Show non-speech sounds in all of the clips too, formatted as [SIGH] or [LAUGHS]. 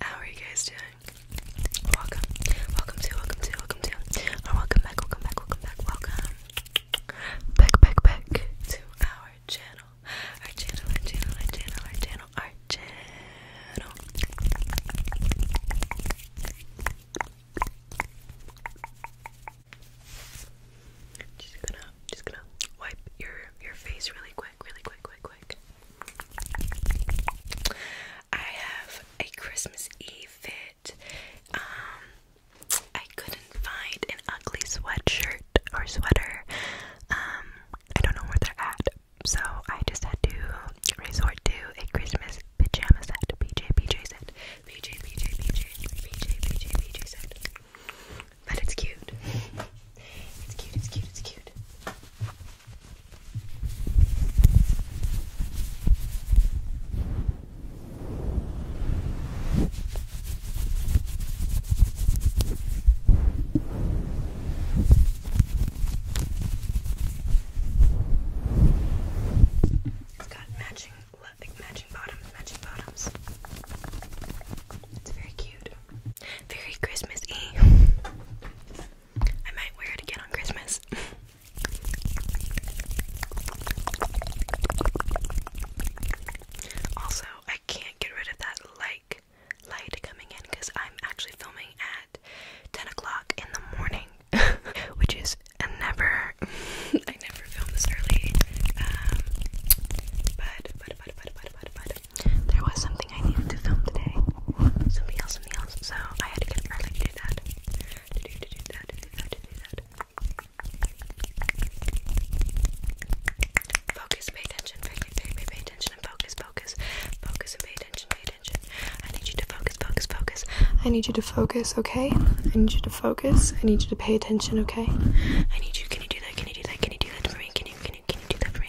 How are you guys doing? Welcome, welcome to, welcome to, welcome to, or oh, welcome back, welcome back, welcome back, welcome back, back, back to our channel, our channel, our channel, our channel, our channel, Just gonna, just gonna wipe your your face really quick, really quick, quick, quick. I have a Christmas Eve fit. Um, I couldn't find an ugly sweatshirt or sweater. Um, I don't know where they're at, so I just had to resort to a Christmas pajama set, PJ PJ set, PJ PJ PJ PJ PJ PJ set. But it's cute. it's cute, it's cute, it's cute. It's got matching, matching bottoms, matching bottoms. It's very cute. Very Christmasy. I might wear it again on Christmas. also, I can't get rid of that like light coming in because I'm actually filming at 10 o'clock in the morning, [LAUGHS] which is never. [LAUGHS] I never film this early. Um, but but but but but but but there was something I needed to film today. Something else, something else. So I had to get up early to do that. To do, to do that, to do that, to do that. Focus, pay attention, pay, pay, pay, pay attention, and focus, focus. Focus and pay attention, pay attention. I need you to focus, focus, focus. I need you to focus, okay? I need you to focus. I need you to pay attention, okay? I need you. Can you do that? Can you do that? Can you do that for me? Can you can you can you do that for me?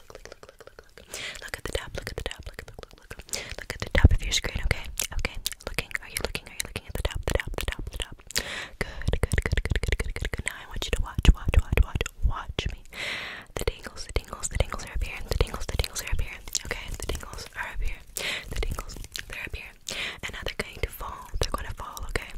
look, at the top, look at the top, look, at the top of your screen, okay? Okay. Looking, are you looking? Are you looking at the top, the top, the top, the top? Good, good, good, good, good, good, good, Now I want you to watch, watch, watch, watch, watch me. The tingles, the tingles, the tingles are up here. The tingles, the tingles are up here. Okay, the tingles are up here. The tingles, they're up here. And now they're going to fall. They're gonna fall, okay?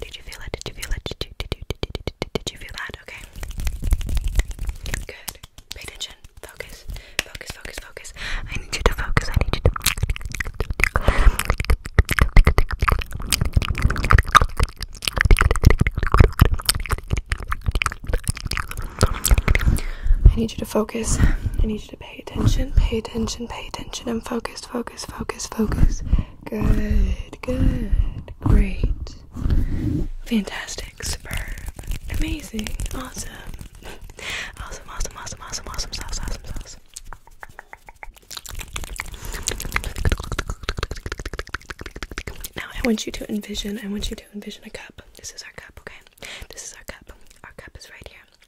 Did you feel it? Did you feel it? Did you, did you, did you, did you, did you feel that? Okay. Good. Pay attention. Focus. Focus, focus, focus. I need you to focus. I need you to. I need you to focus. I need you to pay attention, pay attention, pay attention, and focus, focus, focus, focus. Good, good, great, fantastic, superb, amazing, awesome, awesome, awesome, awesome, awesome, awesome, sauce, awesome, sauce. Now I want you to envision, I want you to envision a cup. This is our cup, okay? This is our cup. Our cup is right here.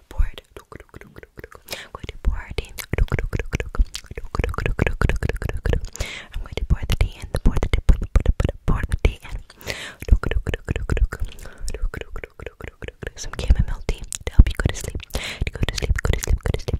I'm going to pour I'm going to pour the tea the tea. Pour the tea Some chamomile to help you go to sleep. To go to sleep. Go to sleep. Go to sleep.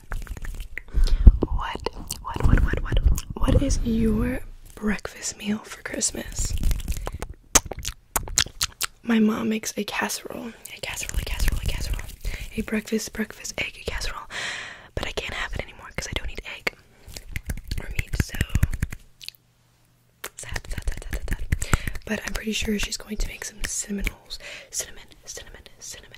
What, what, what, what, what, what is your breakfast meal for Christmas? My mom makes a casserole, a casserole, a casserole, a casserole, a breakfast, breakfast, egg, a casserole, but I can't have it anymore because I don't eat egg or meat, so sad, sad, sad, sad, sad, sad. But I'm pretty sure she's going to make some cinnamon rolls, cinnamon, cinnamon, cinnamon,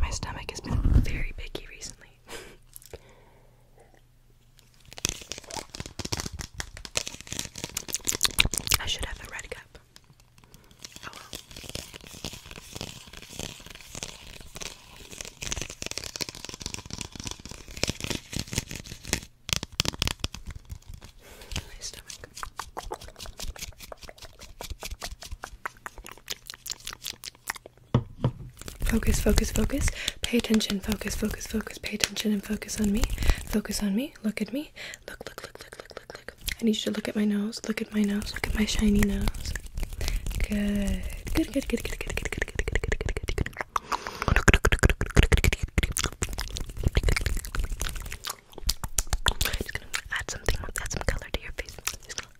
My stomach has been very picky recently. I should have a red cup. Oh, My stomach. Focus, focus, focus. Pay attention, focus, focus, focus. Pay attention and focus on me. Focus on me. Look at me. Look, look, look, look, look, look, look. I need you to look at my nose. Look at my nose. Look at my shiny nose. Good. Good, good, good, good, good, good, good, good, good, good, good, good. Just gonna add something, add some color to your face. Just gonna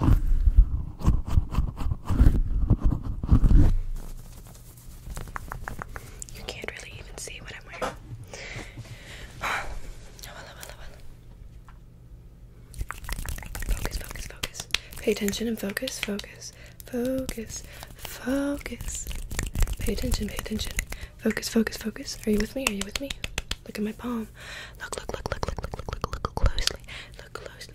You can't really even see what I'm wearing. Um, oh, hello, hello, hello. Focus, focus, focus. Pay attention and focus, focus, focus, focus. Pay attention, pay attention. Focus, focus, focus. Are you with me? Are you with me? Look at my palm. Look, look, look, look, look, look, look, look, look closely. Look closely.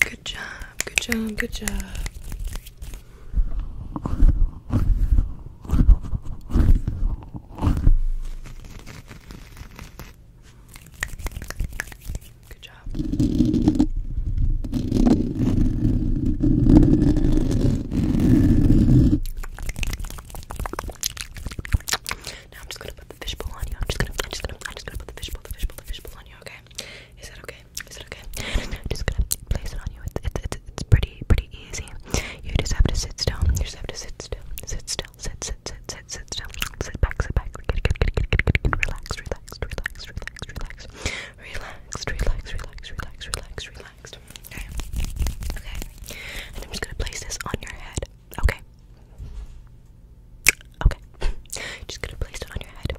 Good job, good job, good job. Good job. Now I'm just gonna put the fishbowl on you. I'm just gonna, I'm just gonna, I'm just gonna put the fishbowl, the fishbowl, the fishbowl, this on you, okay? Is that okay? Is that okay? I'm [LAUGHS] just gonna place it on you. It's it's it's, it's pretty pretty easy. You just have to sit still. You just have to sit still. Sit still. Sit sit sit sit sit still. Sit back. Sit back. Get get get get get get. Relax. Relax. Relax. Relax. Relax. Relaxed. Relax. Relax. Relax. Relax. Relaxed. Okay. Okay. And I'm just gonna place this on your head. Okay. Okay. [LAUGHS] Just gonna place it on your head. And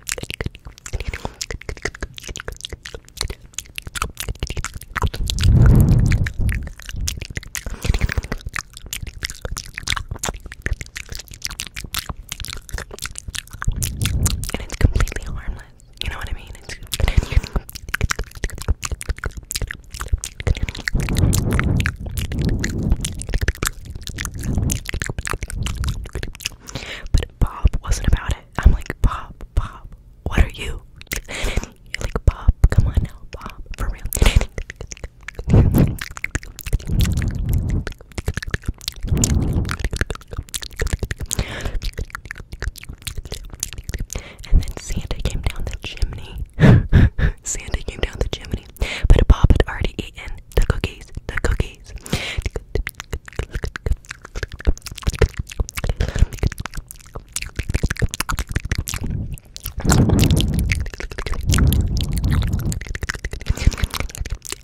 it's completely harmless. You know what I mean? [LAUGHS] But Bob wasn't about it. I'm like, Bob, Bob, what are you? You're like, Bob, come on now, Bob, for real. And then Santa came down the chimney. [LAUGHS] Santa came down the chimney but Bob had already eaten the cookies, the cookies.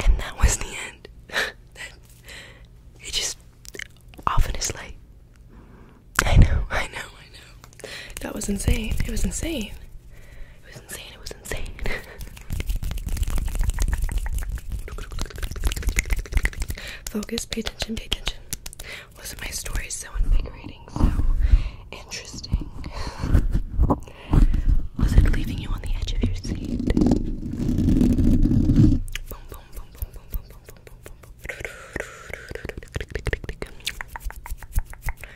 And that was the end. [LAUGHS] it just off in a I know, I know, I know. That was insane. It was insane. It was insane, it was insane. Focus, pay attention, pay attention. was my story so invigorating, so interesting? Was it leaving you on the edge of your seat?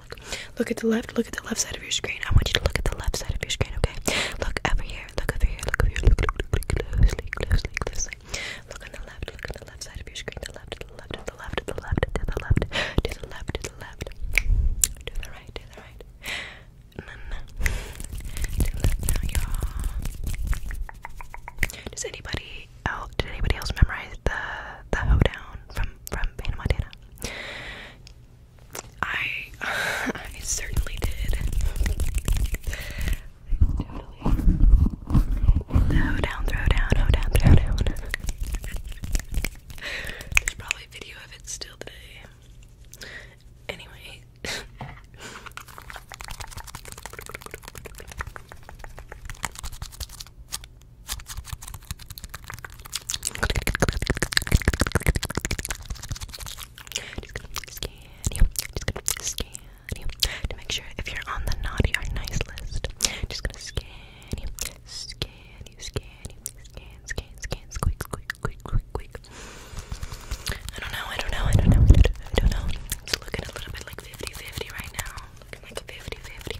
look, look. Look at the left. Look at the left side of your screen. I want you to look at the left side of your screen, okay? Look over here. Look over here. Look over here. Look, look, look closely, closely, closely. Look on the left. Look on the left side of your screen. The left, to the left, to the left, to the left, to the left, to the left, to the left. To the right, to the right. No, no. To the left now, y'all. Does anybody else? Did anybody else memorize the the hoedown from from Hannah I, [LAUGHS] I certainly did. Throw down, throw down, throw down, throw down. There's probably video of it still today. Anyway. Just gonna scan you, just gonna scan you to make sure if you're on the naughty or nice list. Just gonna scan you, scan you, scan you, scan, scan, scan, squeak, squeak, squeak, squeak, squeak. I don't know, I don't know, I don't know, I don't, I don't know. It's looking a little bit like 50-50 right now. Looking like 50-50.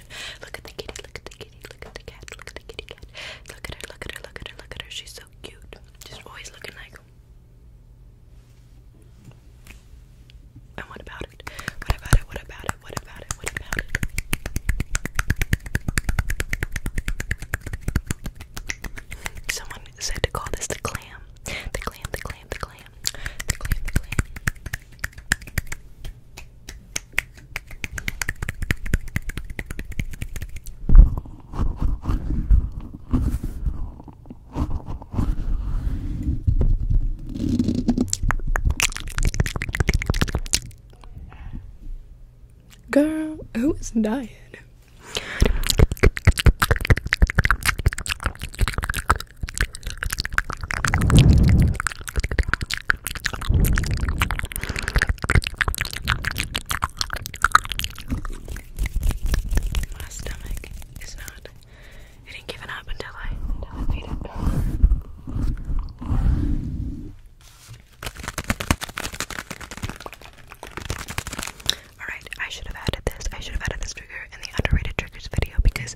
Look at the kitty, look at the kitty, look at the cat, look at the kitty cat. Look at her, look at her, look at her, look at her. She's so cute. Just always looking like. what about it? What about it? What about it? What about it? What about it? Someone said to call this The clam, the clam, the clam. The clam, the clam. Girl, who is dying? My stomach is not. It ain't giving up until I Alright, I should have added this. I should have added this trigger in the underrated triggers video because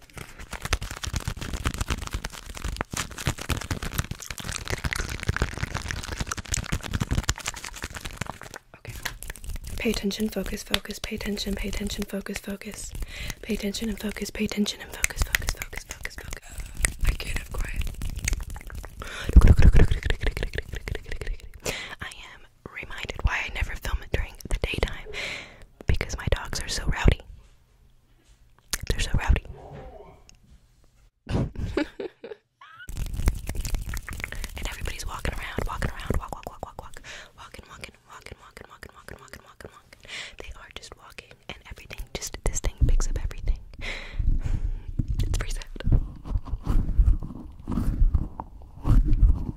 Pay attention, focus, focus, pay attention, pay attention, focus, focus. Pay attention and focus, pay attention and focus, focus, focus, focus, I can quiet. I am reminded why I never film it during the daytime because my dogs are so rowdy. They're so rowdy. [LAUGHS] and everybody's walking around, walking around, walk, walk, walk, walk, walk, walking, walking, walking, walking, walking, walking, walking, walking, walking. They are just walking, and everything, just this thing picks up everything. [LAUGHS] it's pretty sad.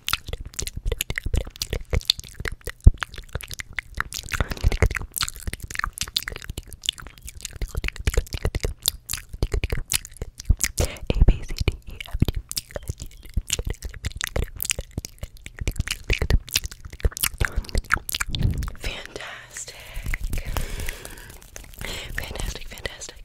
A B C D E F G Fantastic. Fantastic, fantastic.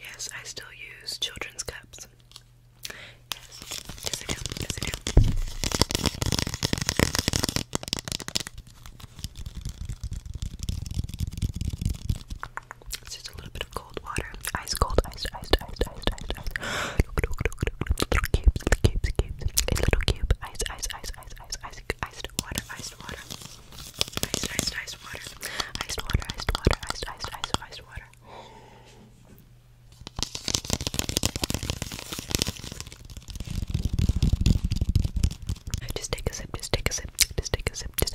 Yes, I still use children's cups. Yes, yes I do, yes I do. just a little bit of cold water. Ice cold, ice, ice, ice, ice, ice, ice. cubes, cubes, cubes. A little cube. Ice, ice, ice, ice, ice, ice drink iced water, iced water. Iced, iced, iced water. Iced water, iced water, iced, iced, iced, iced water. Just take a sip, just take a sip, just take a sip, just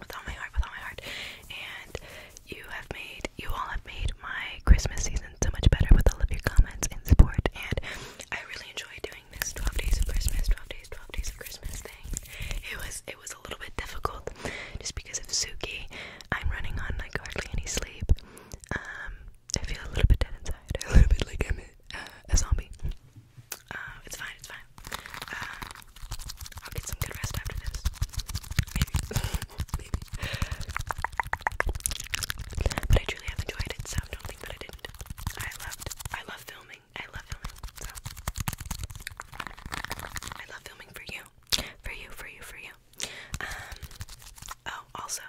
with all my heart, with all my heart. And you have made, you all have made my Christmas season so much better with all of your comments and support. And I really enjoy doing this 12 days of Christmas, 12 days, 12 days of Christmas thing. It was, it was a little bit difficult just because of Suki. I'm running on like hardly any sleep. Um, I feel a little bit dead inside, [LAUGHS] a little bit like I'm a, zombie. Uh, it's fine, it's fine. Uh, I'll get some good rest after this. Maybe. [LAUGHS] Maybe. But I truly have enjoyed it, so don't think that I didn't. I loved I love filming. I love filming. So I love filming for you. For you, for you, for you. Um, oh also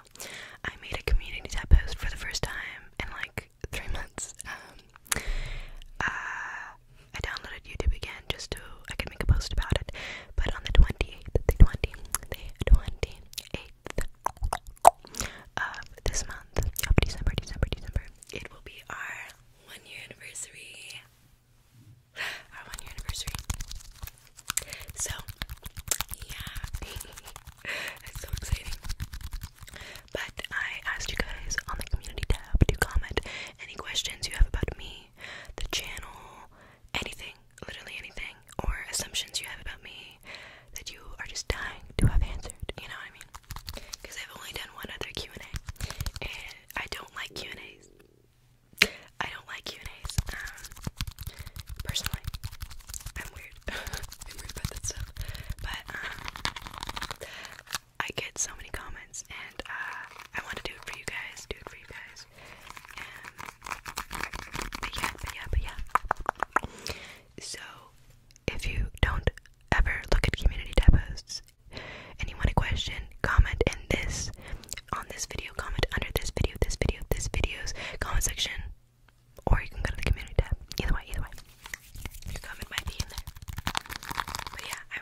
I made a community tab post for the first time in like three months. Um, uh, I downloaded YouTube again just to I can make a post about it. But on the twenty eighth, the twenty, the twenty eighth of this month, of December, December, December, it will be our one year anniversary. [GASPS] Our one year anniversary. So yeah, [LAUGHS] it's so exciting. But I asked you guys on the community tab to comment any questions you have about me, the channel, anything, literally anything, or assumptions you have about me that you are just dying to have answered. You know what I mean? Because I've only done one other Q and A, and I don't like Q and A's. I don't like Q and A's. Um, personally, I'm weird. [LAUGHS] I'm weird about that stuff. But um, I get so many comments, and uh, I want to do it for you guys, do it for you guys. but yeah, but yeah, but yeah. So, if you don't ever look at community tab and you want a question, comment in this, on this video, comment under this video, this video, this video's comment section, or you can go to the community tab. Either way, either way. Comment might be in there. But yeah, I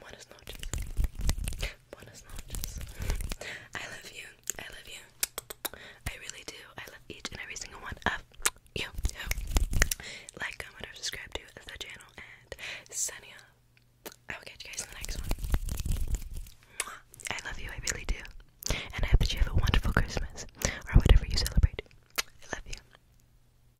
Buenas noches. Buenas noches. I love you. I love you. I really do. I love each and every single one of you. Like, comment, or subscribe to the channel. And signing up. I will catch you guys in the next one. I love you. I really do. And I hope that you have a wonderful Christmas or whatever you celebrate. I love you.